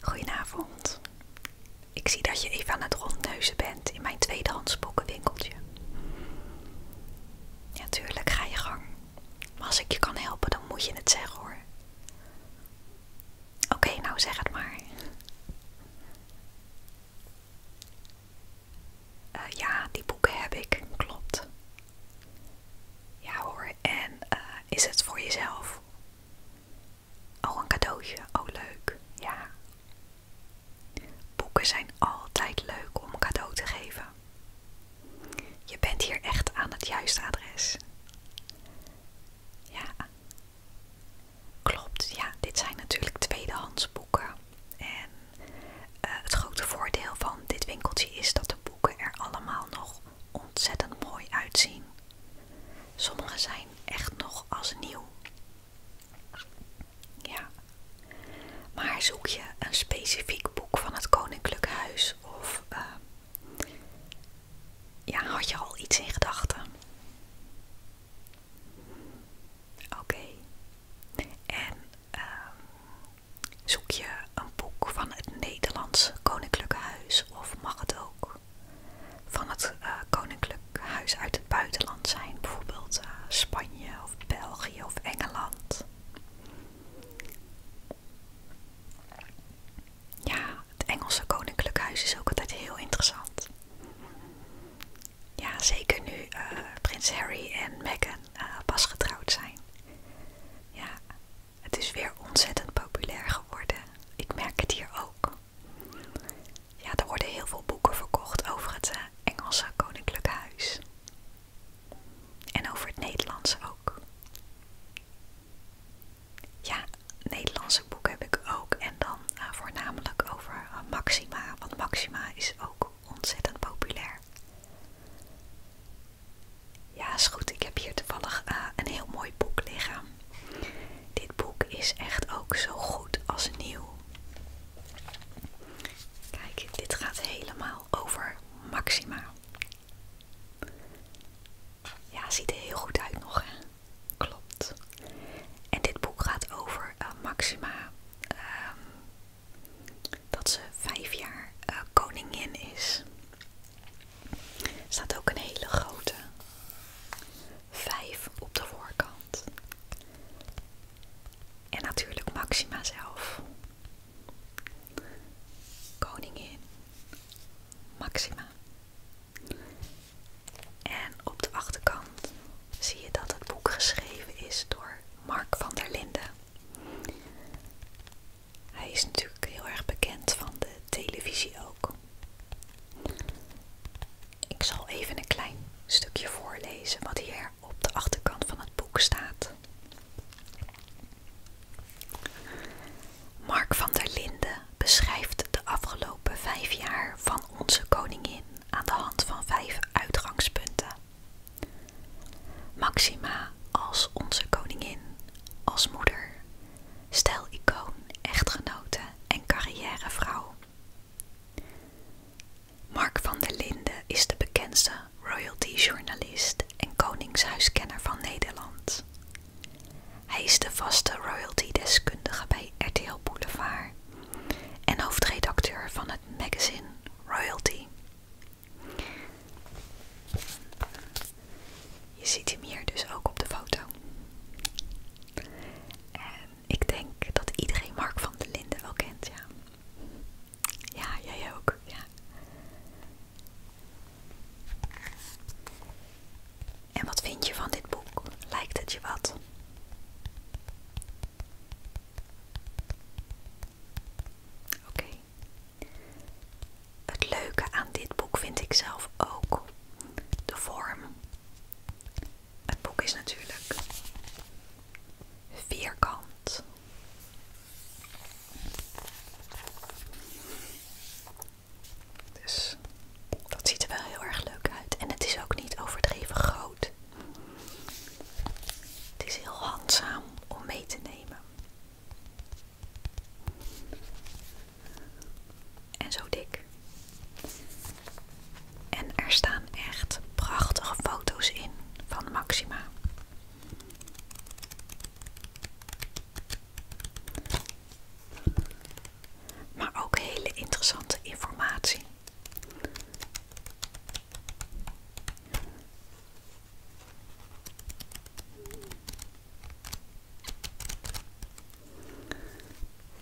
Goedenavond. Ik zie dat je even aan het rondneuzen bent in mijn tweedehands boekenwinkeltje. Ja, tuurlijk, ga je gang. Maar als ik je kan helpen, dan moet je het zeggen hoor. Oké, nou zeg het maar. Eh, ja, die boeken heb ik, klopt. Ja hoor, en eh, is het voor jezelf? Oh, een cadeautje. Oh, leuk. Ja. Boeken zijn altijd leuk om een cadeau te geven. Je bent hier echt aan het juiste adres. Ja. Klopt, ja. Dit zijn natuurlijk tweedehands boeken. En eh, het grote voordeel van dit winkeltje is dat de boeken er allemaal nog ontzettend mooi uitzien. Sommige zijn echt nog als nieuw. Ja. Maar zoek je een specifiek boek van het Koninklijk Huis of eh, ja, had je al iets in gedachten? Oké. En ehm, zoek je een boek van het Nederlandse Koninklijke Huis of mag het ook van het eh, Koninklijk Huis uit het buitenland zijn, bijvoorbeeld eh, Spanje of België of Engeland. Ja, het Engelse Koninklijk Huis is ook altijd heel interessant. Ja, zeker nu eh, prins Harry en Meghan pas getrouwd zijn. Ja, het is weer ontzettend populair geworden. Ik merk het hier ook. Ja, er worden heel veel boeken verkocht over het eh, Engelse Koninklijk Huis. En over het Nederlands ook. Ja, Nederlandse boeken heb ik ook. En dan eh, voornamelijk over eh, Maxima. Want Maxima is ook ontzettend populair. Ja, is goed. Ik heb hier toevallig eh, een heel mooi boek liggen. Dit boek is echt ook zo goed als nieuw. Kijk, dit gaat helemaal over Maxima. Ja, ziet er heel goed uit nog, hè? Klopt. En dit boek gaat over eh, Maxima. Ehm, dat ze vijf jaar eh, koningin is staat ook een hele grote vijf op de voorkant. En natuurlijk Maxima zelf. Koningin Maxima. En op de achterkant zie je dat het boek geschreven is door Mark van der Linden. Hij is natuurlijk heel erg bekend van de televisie ook. Ik zal even een klein stukje voorlezen wat hier op de achterkant van het boek staat. Mark van der Linden beschrijft de afgelopen vijf jaar van onze koningin aan de hand van vijf uitgangspunten. Maxima als onze koningin, als moeder, Stel icoon, echtgenote en carrièrevrouw. Mark van der Linden is de bekendste royalty-journalist en koningshuiskenner van Nederland. Hij is de vaste royalty-deskundige bij RTL Boulevard en hoofdredacteur van het magazine Royalty. Je ziet hem hier dus ook op de foto. En ik denk dat iedereen Mark van der Linden wel kent, ja. Ja, jij ook, ja. En wat vind je van dit boek? Lijkt het je wat? Oké, het leuke aan dit boek vind ik zelf ook de vorm. Het boek is natuurlijk vierkant. Dus dat ziet er wel heel erg leuk uit. En het is ook niet overdreven groot. Het is heel handzaam om mee te nemen. En zo dik. En er staan echt prachtige foto's in van Maxima. Maar ook hele interessante informatie.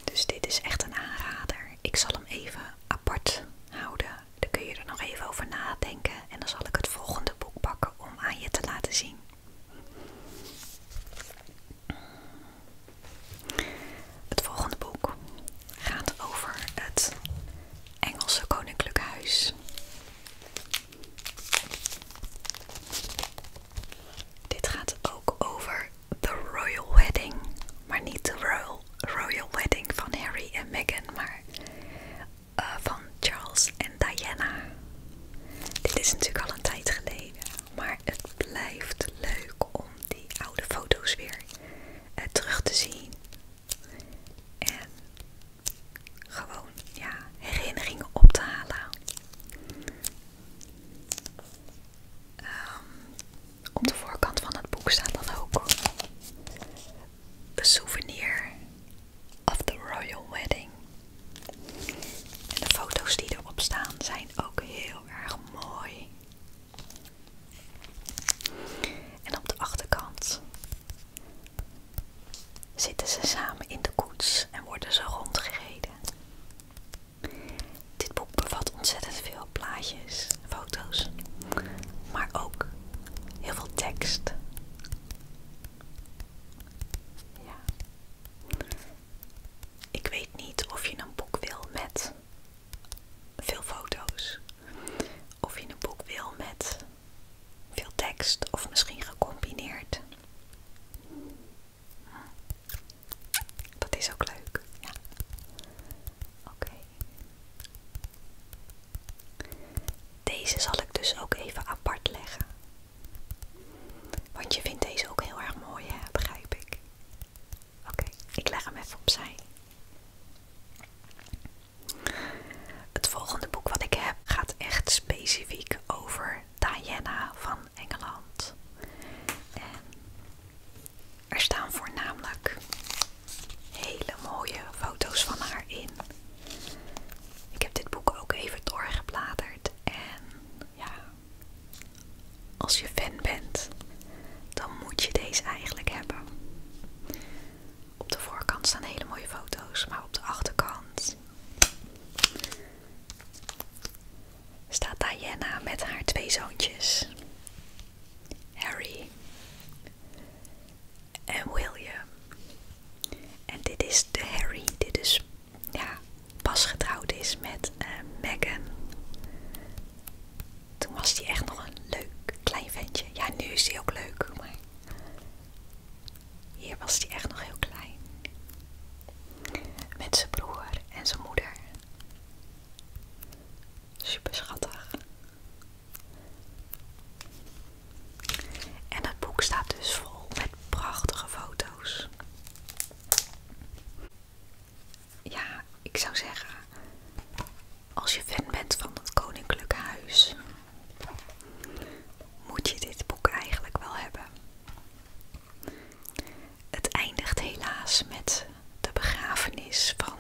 Dus dit is echt een aanrader. Ik zal hem even apart houden. Dan kun je er nog even over nadenken. En dan zal ik het volgende boek pakken om aan je te laten zien. Het volgende boek gaat over het Engelse Koninklijk Huis. Dit gaat ook over The Royal Wedding. Maar niet de Royal, Wedding van Harry en Meghan, maar eh, van Charles en Diana. Dit is natuurlijk al een tijd geleden, maar het blijft leuk om die oude foto's weer eh, terug te zien. En gewoon ja, herinneringen op te halen. Ehm, op de voorkant van het boek staat dan ook een Souvenir of the Royal Wedding. En de foto's die erop staan zijn ook heel erg mooi. En op de achterkant zitten ze samen in de koets en worden ze rondgereden. Dit boek bevat ontzettend veel plaatjes, foto's, maar ook heel veel tekst. Ja. Ik weet niet of je een boek wil met veel foto's, of je een boek wil met veel tekst of misschien gecombineerd. Dat is ook leuk. Oké. Deze zal ik dus ook even apart leggen. Want je vindt deze ook heel erg mooi, hè? begrijp ik. Oké, ik leg hem even opzij. Het volgende boek wat ik heb gaat echt specifiek over Diana van Engeland. En er staan voornamelijk hele mooie foto's van haar in. Ik heb dit boek ook even doorgebladerd en ja, als je fan bent, dan moet je deze eigenlijk hebben. Op de voorkant staan hele mooie foto's, maar op de achterkant staat Diana met haar twee zoontjes, Harry en William. En dit is de Harry, die dus ja, pas getrouwd is met eh, Meghan. Toen was die echt nog een leuk klein ventje. Ja, nu is hij ook leuk, hier was hij echt nog heel klein. Met zijn broer en zijn moeder. Super schattig. En het boek staat dus vol met prachtige foto's. Ja, ik zou zeggen, als je fan bent van het Koninklijke Huis, moet je dit boek eigenlijk wel hebben? Het eindigt helaas met de begrafenis van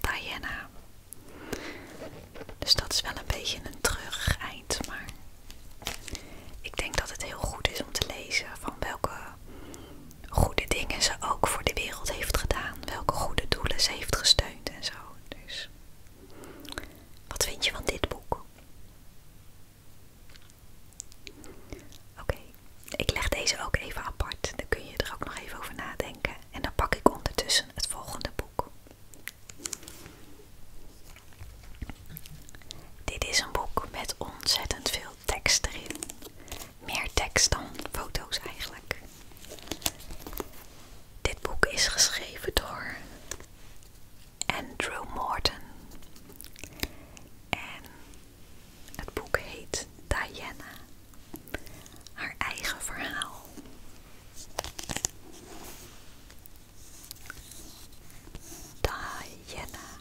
Diana. Dus dat is wel een beetje een terug eind, maar ik denk dat het heel goed is om te lezen van welke goede dingen ze ook voor de wereld heeft gedaan, welke goede doelen ze heeft gesteund en zo. Dus wat vind je van dit boek? Oké, ik leg deze ook even apart. Dan kun je er ook nog even over nadenken. En dan pak ik ondertussen het volgende boek. Dit is een boek met ontzettend veel tekst erin. Meer tekst dan foto's eigenlijk. Dit boek is geschreven door Andrew Morton. En het boek heet Diana. Haar eigen verhaal. Diana.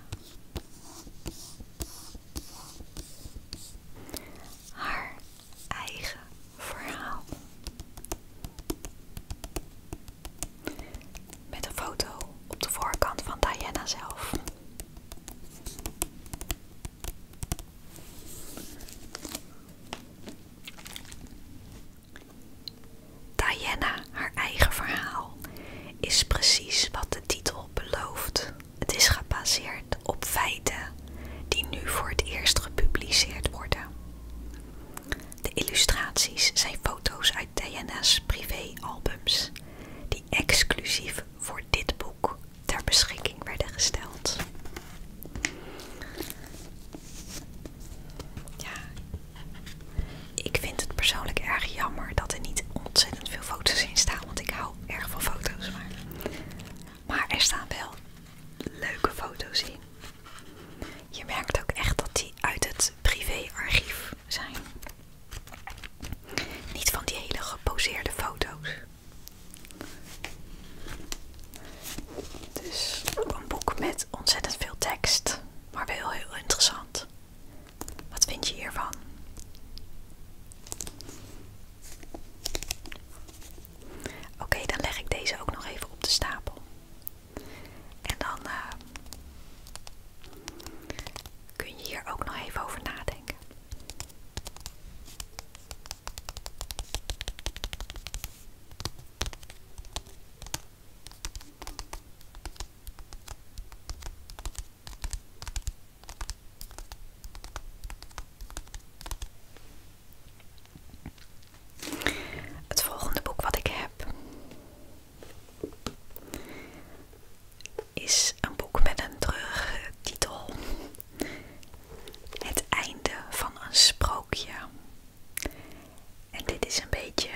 Haar eigen verhaal. Met een foto op de voorkant van Diana zelf. Diana, haar eigen verhaal, is precies wat de titel belooft. Het is gebaseerd op feiten die nu voor het eerst gepubliceerd worden. De illustraties zijn foto's uit Diana's albums die exclusief voor dit boek ter beschikking werden gesteld. Ja, ik vind het persoonlijk erg jammer dat er niet ontzettend veel foto's in staan, want ik hou erg van foto's. maar er staan wel leuke foto's in. Je merkt ook echt dat die uit het privéarchief zijn. Niet van die hele geposeerde foto's. Dus ook een boek met ontzettend veel tekst, maar wel heel interessant. Wat vind je hiervan? Oké, dan leg ik deze ook nog even op de stapel. En dan eh, kun je hier ook nog even over nadenken. Het volgende boek wat ik heb is een boek met een treurige titel. Het einde van een sprookje. En dit is een beetje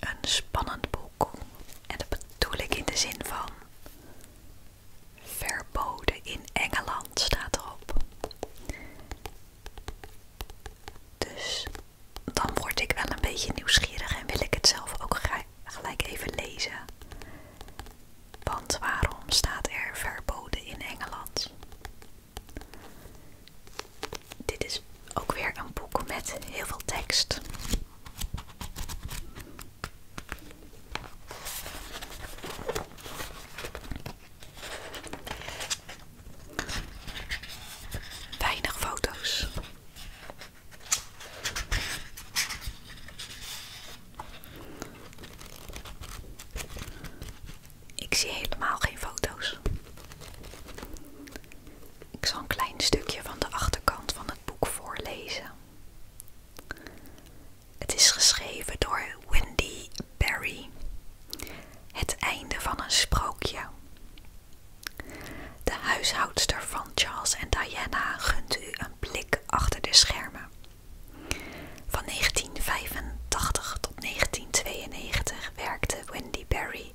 een spannend boek. En dat bedoel ik in de zin van verboden in Engeland staat erop. Dus dan word ik wel een beetje nieuwsgierig en wil ik het zelf ook gelijk even lezen. Want waarom staat er verboden in Engeland? Dit is ook weer een boek met heel veel tekst. Weinig foto's. Ik zie helemaal geen foto's. Ik zal een klein stukje van de achterkant van het boek voorlezen. Het is geschreven door Wendy Berry. Het einde van een sprookje. De huishoudster van Charles en Diana gunt u een blik achter de schermen. Van 1985 tot 1992 werkte Wendy Barry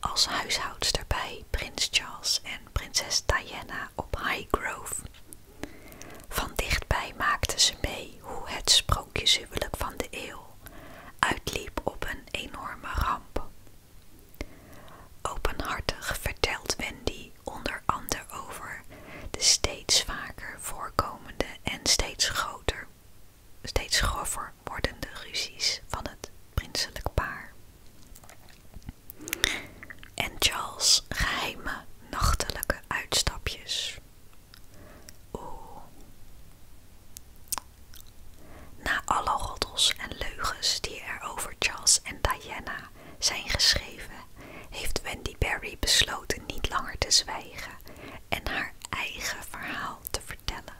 als huishoudster bij prins Charles en prinses Diana op Highgrove. Van dichtbij maakte ze mee hoe het sprookje sprookjeshuwelijk van de eeuw uitliep op een enorme ramp. Openhartig vertelt Wendy onder andere over de steeds vaker voorkomende en steeds groter, steeds grover wordende ruzies van het prinselijk paar. En Charles' geheime nachtelijke uitstapjes na alle roddels en leugens die er over Charles en Diana zijn geschreven, heeft Wendy Berry besloten niet langer te zwijgen en haar eigen verhaal te vertellen.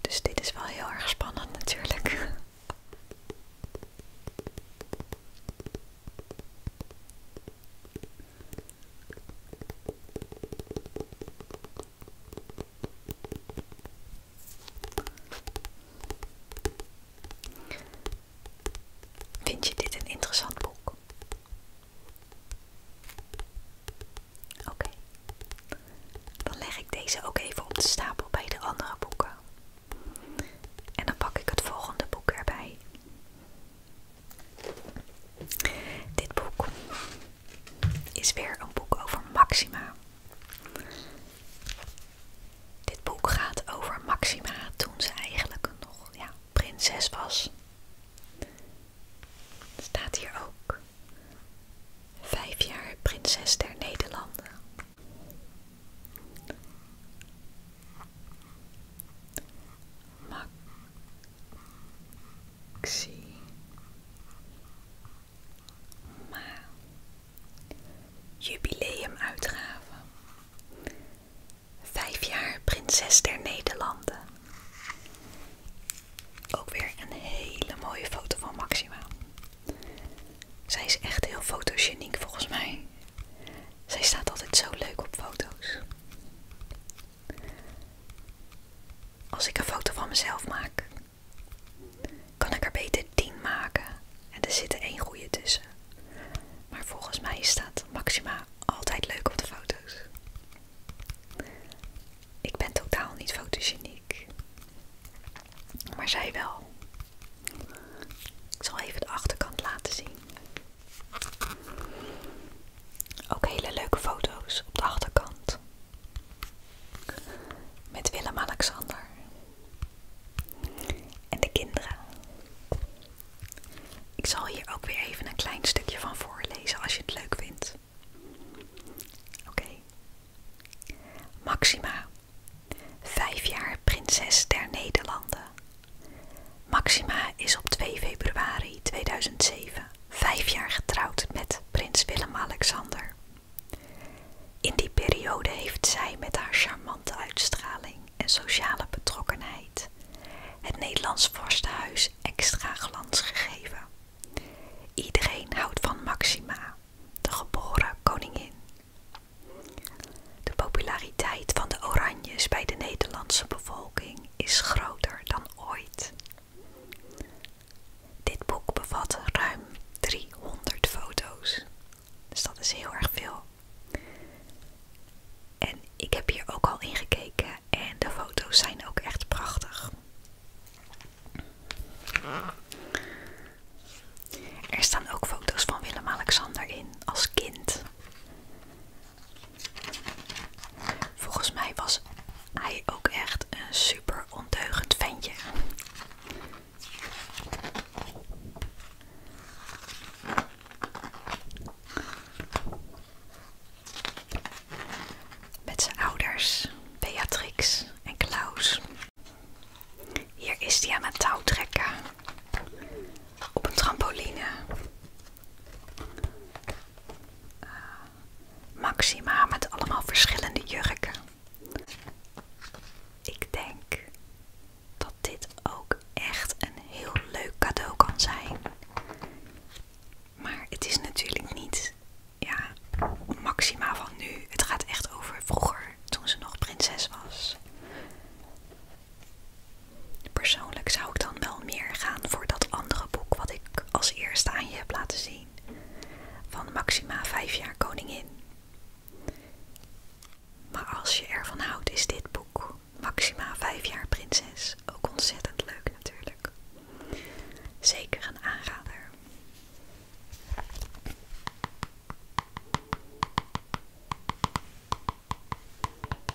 Dus dit is wel heel erg spannend natuurlijk. Vind je dit een interessant boek? Oké, dan leg ik deze ook even op de stapel bij de andere boeken. En dan pak ik het volgende boek erbij. Dit boek is weer een boek over Maxima. Dit boek gaat over Maxima toen ze eigenlijk nog prinses was. Staat hier ook. Vijf jaar prinses der Nederlanden. Max Xi, Ma, jubileumuitgave. Vijf jaar prinses der Nederlanden. Ook weer een hele mooie foto van Maxima. Zij is echt heel fotogeniek volgens mij. Zij staat altijd zo leuk op foto's. Als ik een foto van mezelf maak, kan ik er beter 10 maken en er zit één goede tussen. Maar volgens mij staat Maxima altijd leuk op de foto's. Ik ben totaal niet fotogeniek, maar zij wel. Ik zal even de achterkant laten zien. Ook hele leuke foto's op de achterkant. Met Willem-Alexander. En de kinderen. Ik zal hier ook weer even een klein stukje van voorlezen als je het leuk vindt. Oké. Maxima, vijf jaar prinses der Nederlanden. Maxima is op 2 februari 2007 vijf jaar getrouwd met prins Willem-Alexander. In die periode heeft zij met haar charmante uitstraling en sociale betrokkenheid het Nederlands vorstenhuis extra glans gegeven. Iedereen houdt van Maxima, de geboren koningin. De populariteit van de Oranjes bij de Nederlandse bevolking is groter dan ooit. Dit boek bevat ruim 300 foto's. Dus dat is heel erg veel. En ik heb hier ook al ingekeken en de foto's zijn ook echt prachtig. Er staan ook foto's van Willem-Alexander in als kind. Volgens mij was hij ook echt een super ondeugend ventje. Met zijn ouders, Beatrix en Klaus. Hier is hij aan het touwtrekken Op een trampoline. Eh, Maxima met allemaal verschillende jurken. Ik denk dat dit ook echt een heel leuk cadeau kan zijn. Maar het is natuurlijk niet ja, Maxima van nu. Het gaat echt over vroeger, toen ze nog prinses was. Persoonlijk zou ik dan wel meer gaan voor dat andere boek wat ik als eerste aan je heb laten zien. Van Maxima 5 jaar koningin. Maar als je ervan houdt is dit boek, Maxima 5 jaar prinses, ook ontzettend leuk natuurlijk. Zeker een aanrader.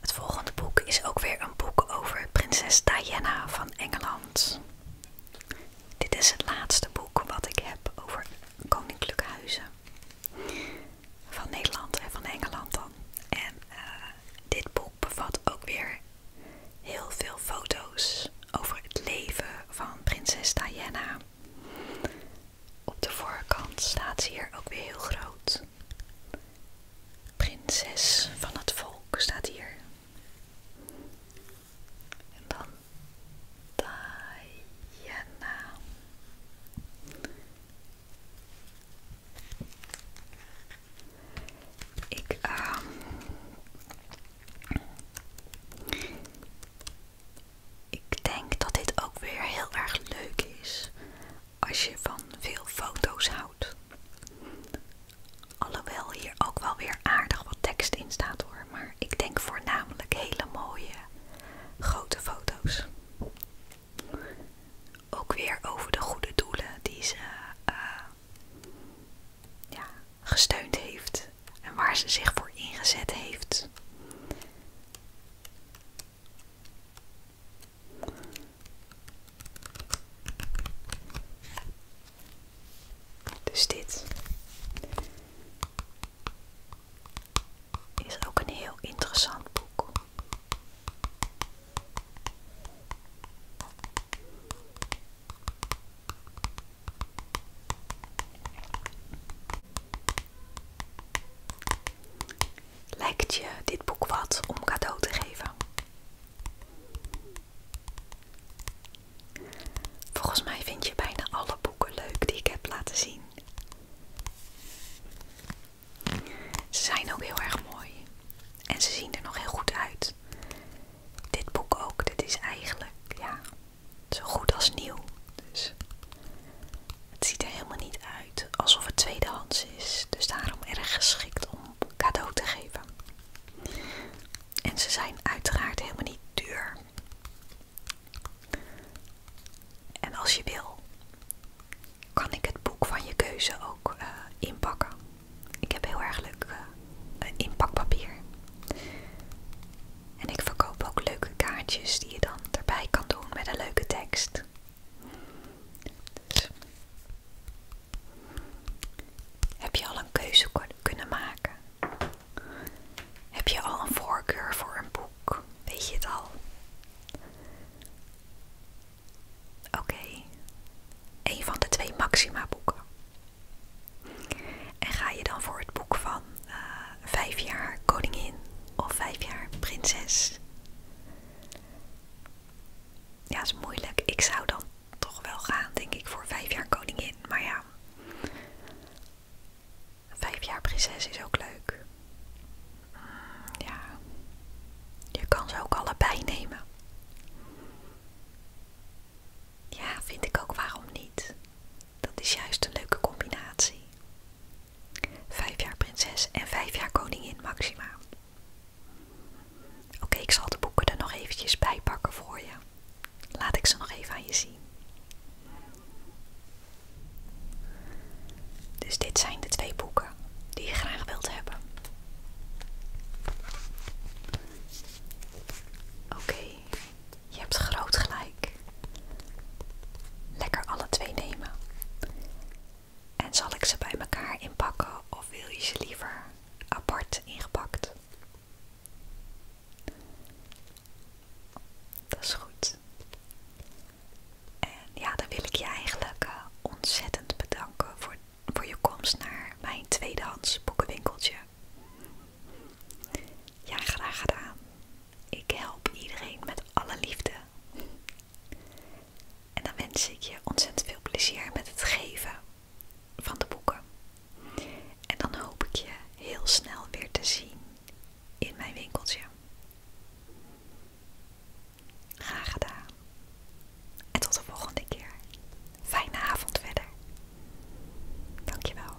Het volgende boek is ook weer een boek over prinses Diana van Engeland. Dit is het laatste boek wat ik heb over koninklijke huizen. Van Nederland en van Engeland dan. En eh, dit boek bevat ook weer heel veel foto's over het leven van prinses Diana. Op de voorkant staat hier ook weer heel groot. Prinses van het volk staat hier. En dan Diana. Ehm, ik denk dat dit ook weer heel erg leuk is als je van veel foto's houdt. Alhoewel hier ook wel weer aardig wat tekst in staat hoor, maar ik denk voornamelijk hele mooie grote foto's. Ook weer over de goede doelen die ze eh, gesteund heeft en waar ze zich voor ingezet heeft. Dus dit is ook een heel interessant boek. Lijkt je dit boek wat om cadeau te geven? Volgens mij vind je bijna alle boeken leuk die ik heb laten zien. Ze zijn ook heel erg mooi en ze zien er nog heel goed uit. Dit boek ook, dit is eigenlijk, ja, zo goed als nieuw. Dus het ziet er helemaal niet uit alsof het tweedehands is. Dus daarom erg geschikt om cadeau te geven. En ze zijn uiteraard helemaal niet duur. En als je wil, kan ik het boek van je keuze ook eh, inpakken. Ik heb heel erg leuk eh, inpakpapier. En ik verkoop ook leuke kaartjes die je dan erbij kan doen met een leuke tekst. Heb je al een keuze kunnen maken? Heb je al een voorkeur voor een boek? Weet je het al? Oké, een van de twee Maxima boeken. En ga je dan voor het boek van eh, vijf jaar koningin of vijf jaar prinses. Ja, is moeilijk. Ik zou dan toch wel gaan, denk ik, voor vijf jaar koningin. Maar ja, vijf jaar prinses is ook leuk. Mm, ja, je kan ze ook allebei nemen. Ja, vind ik ook waarom niet. Dat is juist een leuke combinatie. Vijf jaar prinses en vijf jaar koningin Maxima. Oké, ik zal de boeken er nog eventjes bij pakken voor je. Laat ik ze nog even aan je zien. Dus dit zijn de twee boeken die je graag wilt hebben. Oké, je hebt groot gelijk. Lekker alle twee nemen. En zal ik ze bij elkaar inpakken of wil je ze liever apart ingepakt? Dat is goed. En ja, dan wil ik je eigenlijk eh, ontzettend bedanken voor, voor je komst naar mijn tweedehands boekenwinkeltje. Ja, graag gedaan. Ik help iedereen met alle liefde. En dan wens ik je ontzettend veel plezier met het geven van de boeken. En dan hoop ik je heel snel weer te zien in mijn winkeltje. Graag gedaan. En tot de volgende keer. Fijne avond verder. Dankjewel.